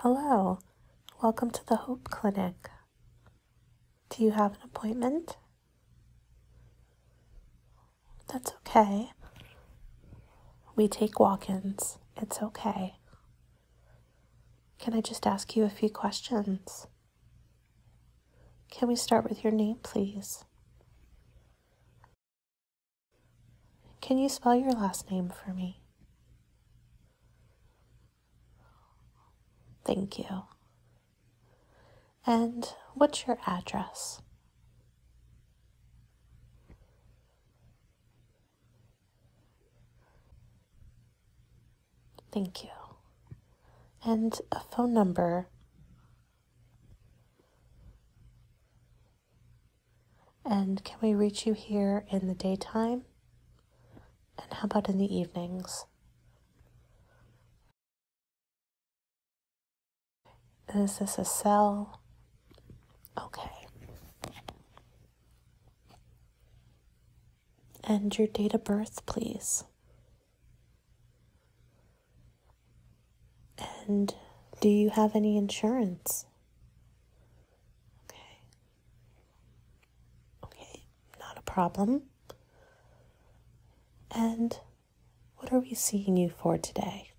Hello, welcome to the Hope Clinic. Do you have an appointment? That's okay. We take walk ins. It's okay. Can I just ask you a few questions? Can we start with your name, please? Can you spell your last name for me? Thank you. And what's your address? Thank you. And a phone number. And can we reach you here in the daytime? And how about in the evenings? Is this a cell? Okay. And your date of birth, please. And do you have any insurance? Okay. Okay not a problem. And what are we seeing you for today?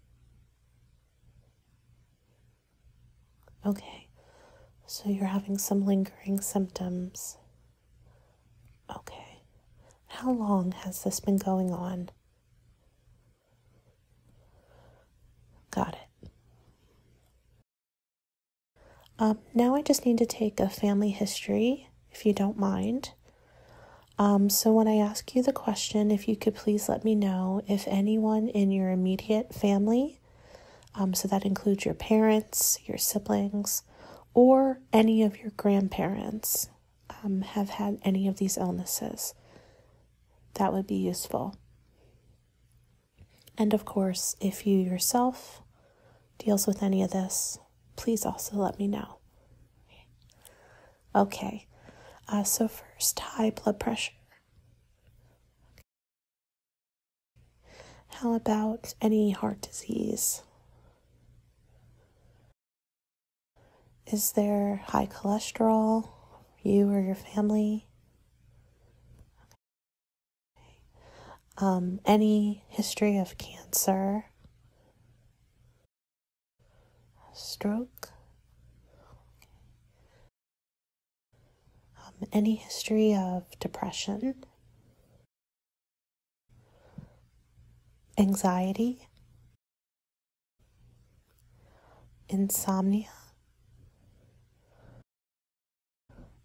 Okay, so you're having some lingering symptoms. Okay, how long has this been going on? Got it. Um, now I just need to take a family history, if you don't mind. Um, so, when I ask you the question, if you could please let me know if anyone in your immediate family, um, so that includes your parents, your siblings, or any of your grandparents, have had any of these illnesses. That would be useful. And of course, if you yourself deals with any of this, please also let me know. Okay, uh, so first, high blood pressure. How about any heart disease? Is there high cholesterol, you or your family? Um, any history of cancer, stroke, um, any history of depression, anxiety, insomnia,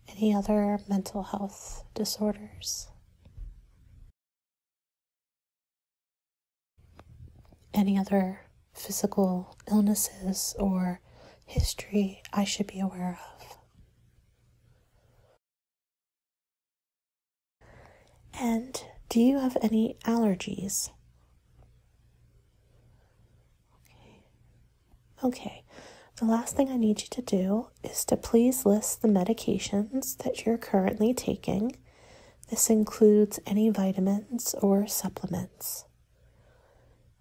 any other mental health disorders, any other physical illnesses or history I should be aware of. And do you have any allergies? Okay, the last thing I need you to do is to please list the medications that you're currently taking. This includes any vitamins or supplements.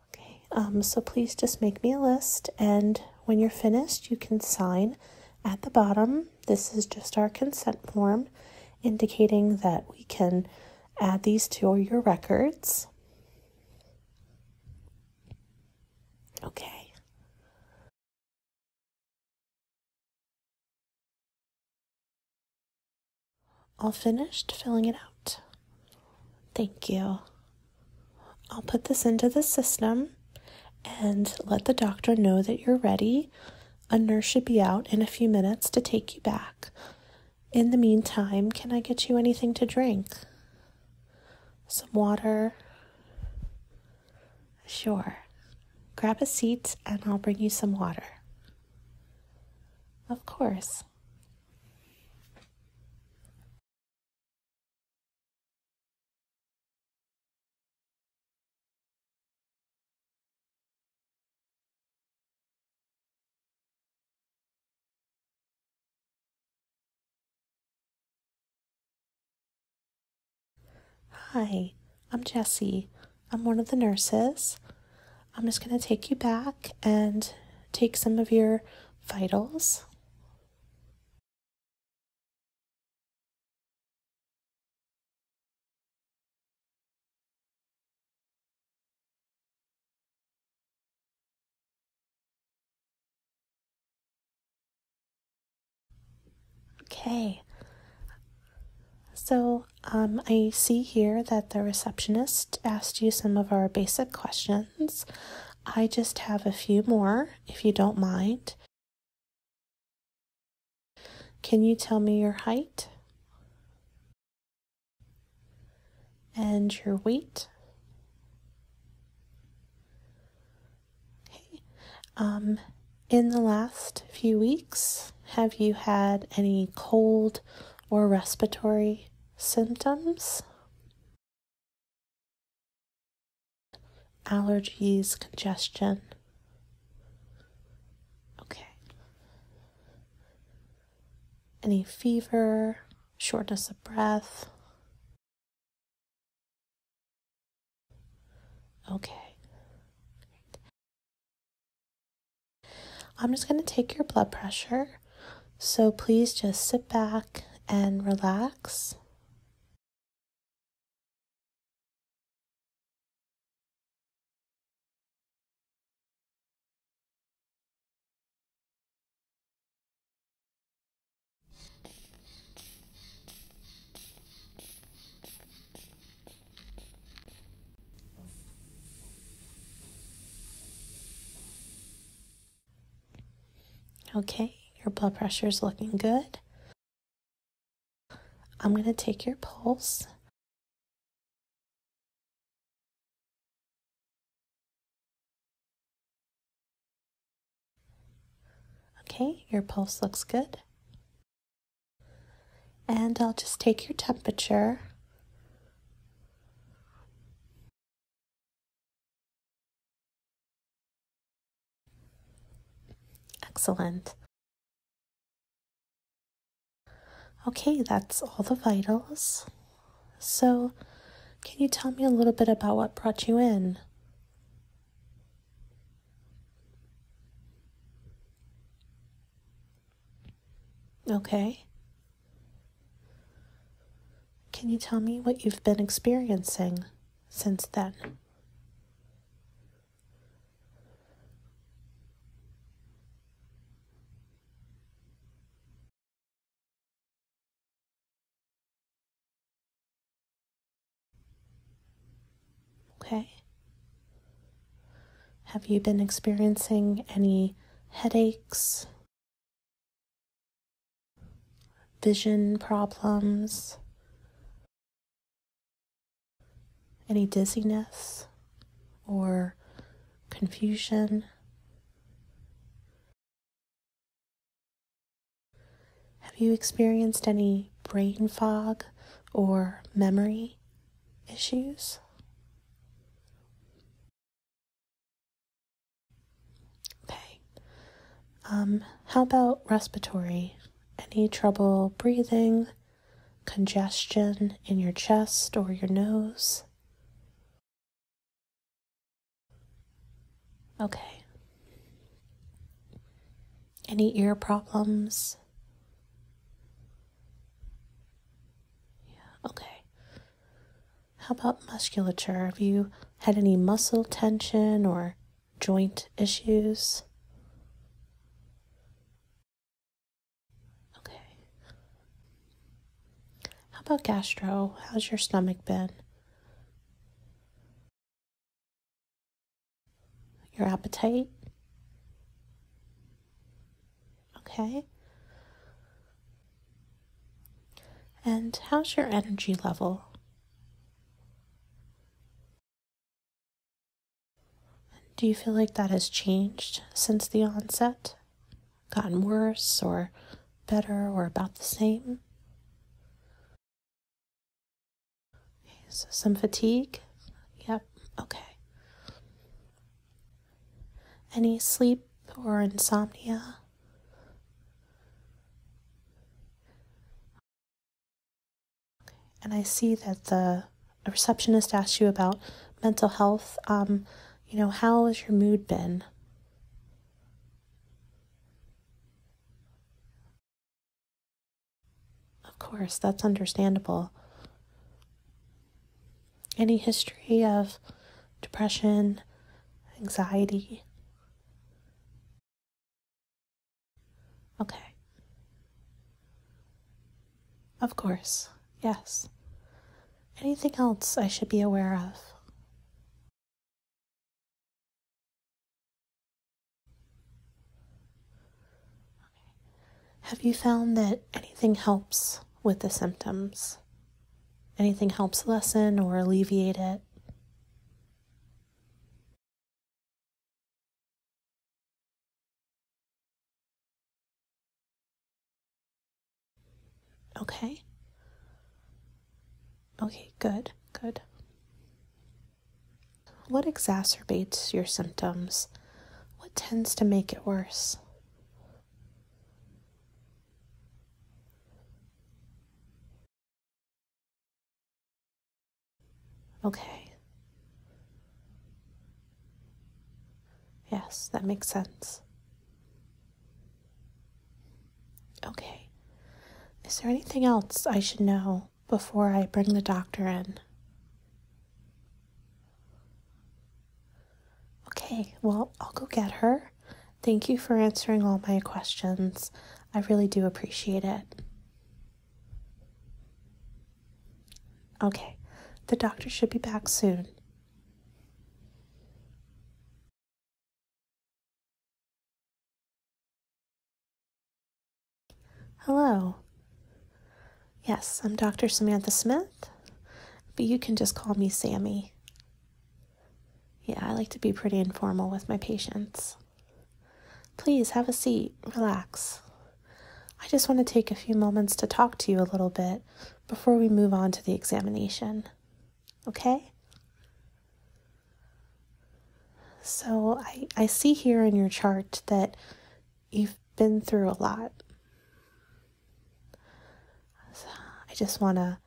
Okay, um, so please just make me a list, and when you're finished, you can sign at the bottom. This is just our consent form indicating that we can add these to your records. Okay. All finished filling it out. Thank you. I'll put this into the system and let the doctor know that you're ready. A nurse should be out in a few minutes to take you back. In the meantime, can I get you anything to drink? some water. Sure. Grab a seat and I'll bring you some water. Of course. Hi, I'm Jessie. I'm one of the nurses. I'm just going to take you back and take some of your vitals. Okay. So um, I see here that the receptionist asked you some of our basic questions. I just have a few more, if you don't mind. Can you tell me your height? and your weight. Okay. Um, in the last few weeks, have you had any cold or respiratory symptoms? Allergies, congestion. Okay any fever, shortness of breath. Okay. I'm just going to take your blood pressure. So please just sit back and relax. Okay, your blood pressure is looking good. I'm going to take your pulse. Okay, your pulse looks good. And I'll just take your temperature. Excellent. Okay, that's all the vitals. So, can you tell me a little bit about what brought you in? Okay. Can you tell me what you've been experiencing since then? Okay. Have you been experiencing any headaches, vision problems, any dizziness or confusion have you experienced any brain fog or memory issues? Okay. Um, how about respiratory? Any trouble breathing? Congestion in your chest or your nose? Okay. Any ear problems? Yeah, okay. How about musculature? Have you had any muscle tension or joint issues? Okay. How about gastro? How's your stomach been? Your appetite? Okay. And how's your energy level? Do you feel like that has changed since the onset? gotten worse or better or about the same? Okay, some fatigue? Yep, okay. Any sleep or insomnia? and I see that the receptionist asked you about mental health. Um, you know, how has your mood been? Of course, that's understandable. Any history of depression, anxiety? Okay. Of course, yes. Anything else I should be aware of? Have you found that anything helps with the symptoms? Anything helps lessen or alleviate it? Okay. Okay, good, good. What exacerbates your symptoms? What tends to make it worse? Okay. Yes, that makes sense. Okay. Is there anything else I should know before I bring the doctor in? Okay, well, I'll go get her. Thank you for answering all my questions. I really do appreciate it. Okay, the doctor should be back soon. Hello. Yes, I'm Dr. Samantha Smith, but you can just call me Sammy. Yeah, I like to be pretty informal with my patients. Please have a seat, relax. I just want to take a few moments to talk to you a little bit before we move on to the examination. Okay? So I, I see here in your chart that you've been through a lot. I just want to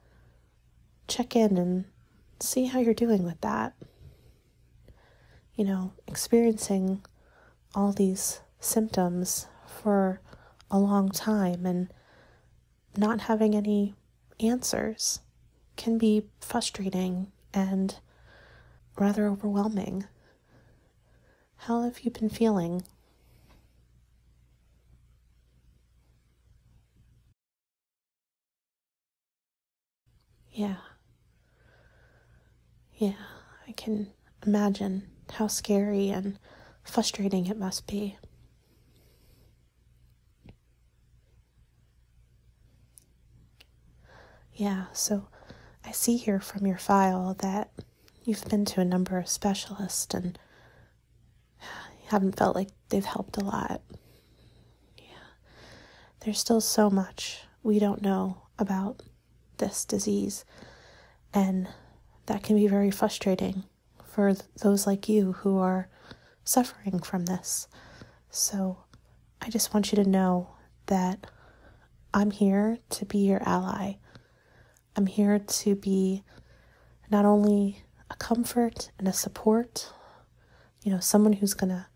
check in and see how you're doing with that. You know, experiencing all these symptoms for a long time and not having any answers can be frustrating and rather overwhelming. How have you been feeling? Yeah, yeah, I can imagine how scary and frustrating it must be. Yeah, so I see here from your file that you've been to a number of specialists and haven't felt like they've helped a lot. Yeah. There's still so much we don't know about this disease. And that can be very frustrating for those like you who are suffering from this. So I just want you to know that I'm here to be your ally. I'm here to be not only a comfort and a support, you know, someone who's going to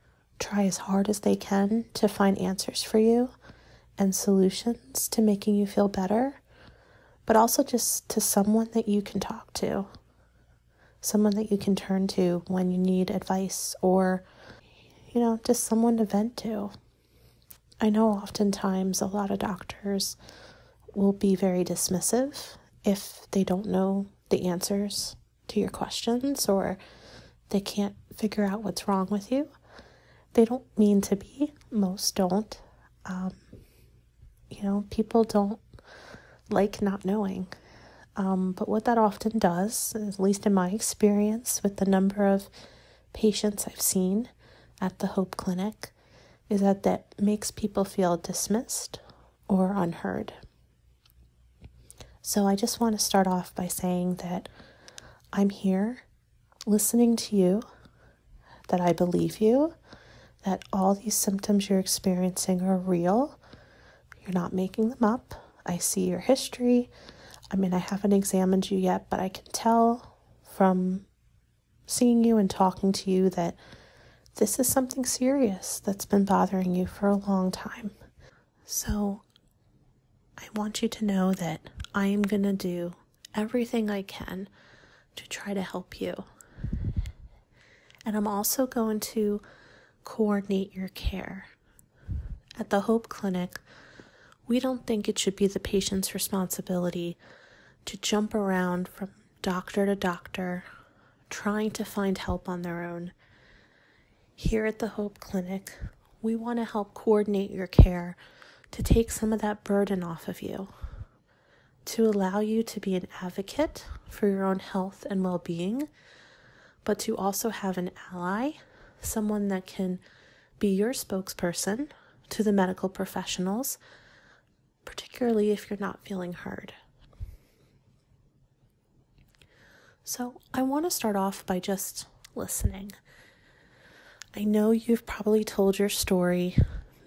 try as hard as they can to find answers for you and solutions to making you feel better, but also just to someone that you can talk to, someone that you can turn to when you need advice or, you know, just someone to vent to. I know oftentimes a lot of doctors will be very dismissive if they don't know the answers to your questions or they can't figure out what's wrong with you they don't mean to be. Most don't. Um, you know, people don't like not knowing. Um, but what that often does, at least in my experience with the number of patients I've seen at the Hope Clinic, is that that makes people feel dismissed or unheard. So I just want to start off by saying that I'm here listening to you, that I believe you, that all these symptoms you're experiencing are real. You're not making them up. I see your history. I mean, I haven't examined you yet, but I can tell from seeing you and talking to you that this is something serious that's been bothering you for a long time. So I want you to know that I am going to do everything I can to try to help you. And I'm also going to coordinate your care. At the Hope Clinic, we don't think it should be the patient's responsibility to jump around from doctor to doctor trying to find help on their own. Here at the Hope Clinic, we want to help coordinate your care to take some of that burden off of you, to allow you to be an advocate for your own health and well being, but to also have an ally, someone that can be your spokesperson to the medical professionals, particularly if you're not feeling heard. So, I want to start off by just listening. I know you've probably told your story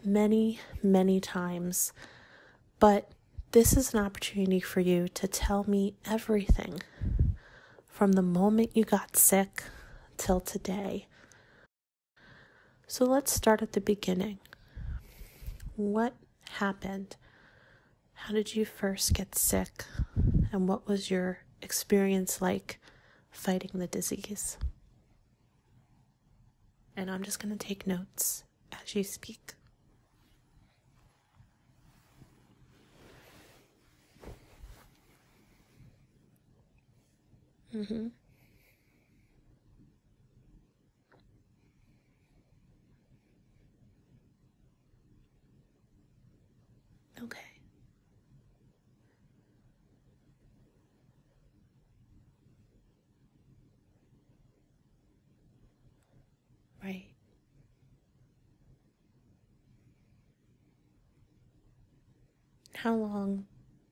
many, many times, but this is an opportunity for you to tell me everything from the moment you got sick till today. So let's start at the beginning. What happened? How did you first get sick? And what was your experience like fighting the disease? And I'm just going to take notes as you speak. Mm-hmm. Okay. Right. How long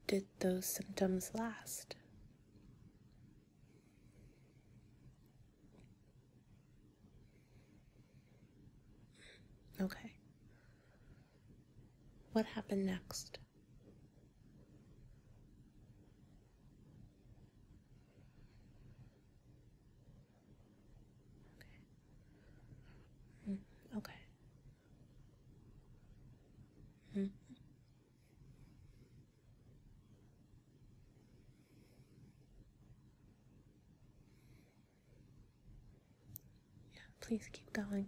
did those symptoms last? Okay. What happened next? Okay. Mm, mm-hmm. Yeah, please keep going.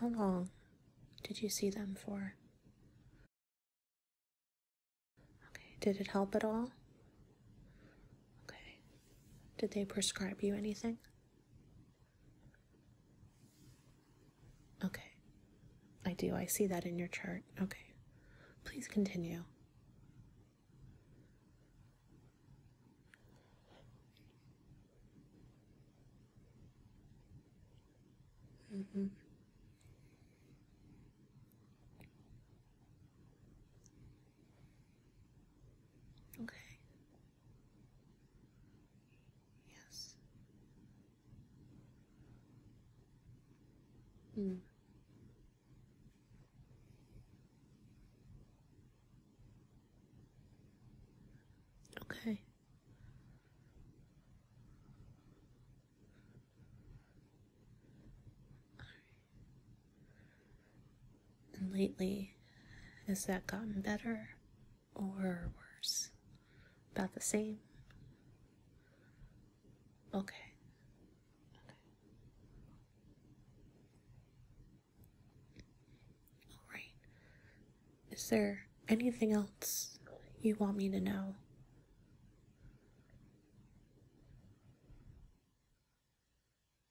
And how long did you see them for? Okay, did it help at all? Okay. Did they prescribe you anything? Okay. I do. I see that in your chart. Okay. Please continue. Mm -hmm. Okay. Yes. Hmm. Okay. And lately, has that gotten better or worse? About the same? Okay. okay. All right. Is there anything else you want me to know?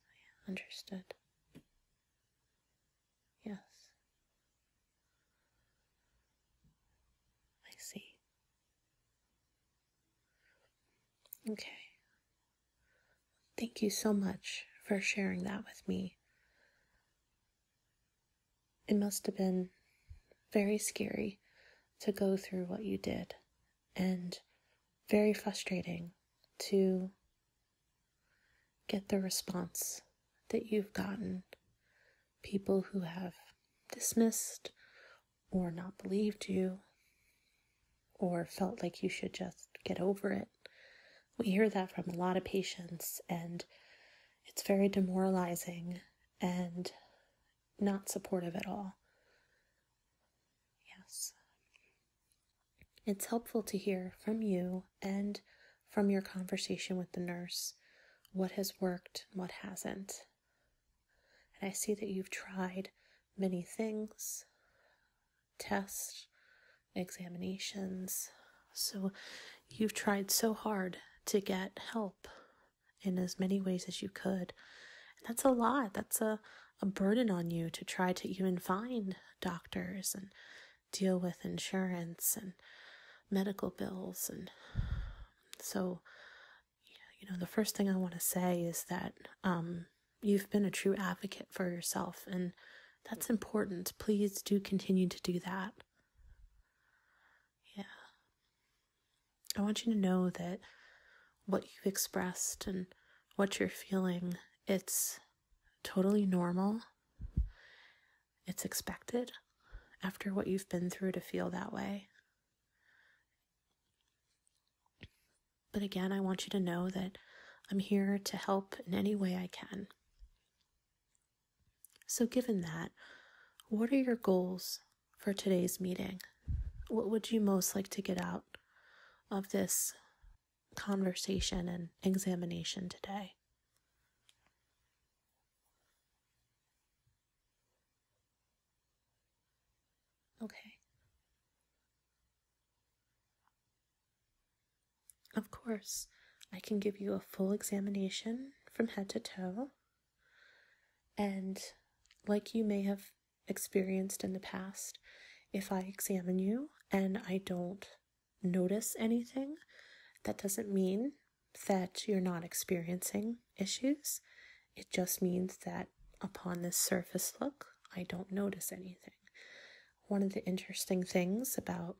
I understood. Yes. I see. Okay. Thank you so much for sharing that with me. It must have been very scary to go through what you did and very frustrating to get the response that you've gotten. People who have dismissed or not believed you or felt like you should just get over it. We hear that from a lot of patients, and it's very demoralizing and not supportive at all. Yes. It's helpful to hear from you and from your conversation with the nurse what has worked and what hasn't. And I see that you've tried many things tests, examinations. So you've tried so hard to get help in as many ways as you could. that's a lot. That's a, a burden on you to try to even find doctors and deal with insurance and medical bills. And so, you know, the first thing I want to say is that um, you've been a true advocate for yourself, and that's important. Please do continue to do that. Yeah. I want you to know that what you've expressed and what you're feeling, it's totally normal. It's expected after what you've been through to feel that way. But again, I want you to know that I'm here to help in any way I can. So, given that, what are your goals for today's meeting? What would you most like to get out of this conversation and examination today? Okay. Of course, I can give you a full examination from head to toe. And like you may have experienced in the past, if I examine you and I don't notice anything, that doesn't mean that you're not experiencing issues. It just means that upon this surface look, I don't notice anything. One of the interesting things about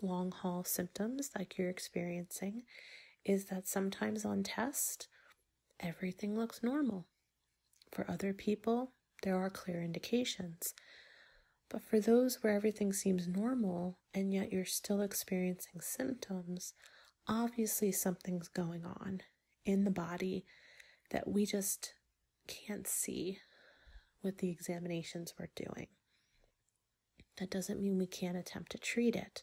long haul symptoms like you're experiencing is that sometimes on test, everything looks normal. For other people, there are clear indications. But for those where everything seems normal and yet you're still experiencing symptoms, obviously something's going on in the body that we just can't see with the examinations we're doing. That doesn't mean we can't attempt to treat it.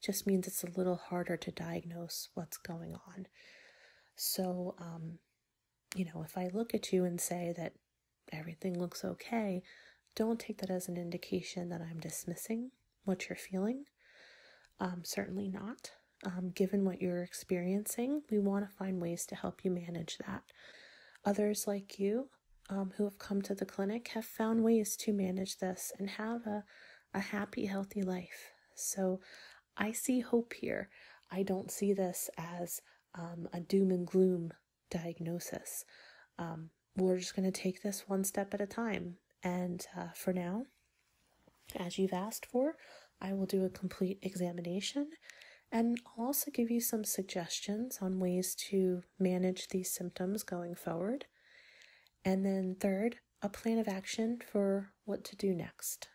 just means it's a little harder to diagnose what's going on. So, um, you know, if I look at you and say that everything looks okay, don't take that as an indication that I'm dismissing what you're feeling. Um, certainly not. Um, given what you're experiencing, we want to find ways to help you manage that. Others, like you, um, who have come to the clinic have found ways to manage this and have a, a happy, healthy life. So I see hope here. I don't see this as um, a doom and gloom diagnosis. Um, we're just going to take this one step at a time. And uh, for now, as you've asked for, I will do a complete examination and I'll also give you some suggestions on ways to manage these symptoms going forward. And then, third, a plan of action for what to do next.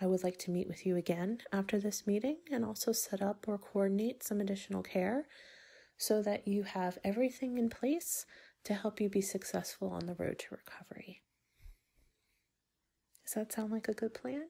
I would like to meet with you again after this meeting and also set up or coordinate some additional care so that you have everything in place to help you be successful on the road to recovery. Does that sound like a good plan?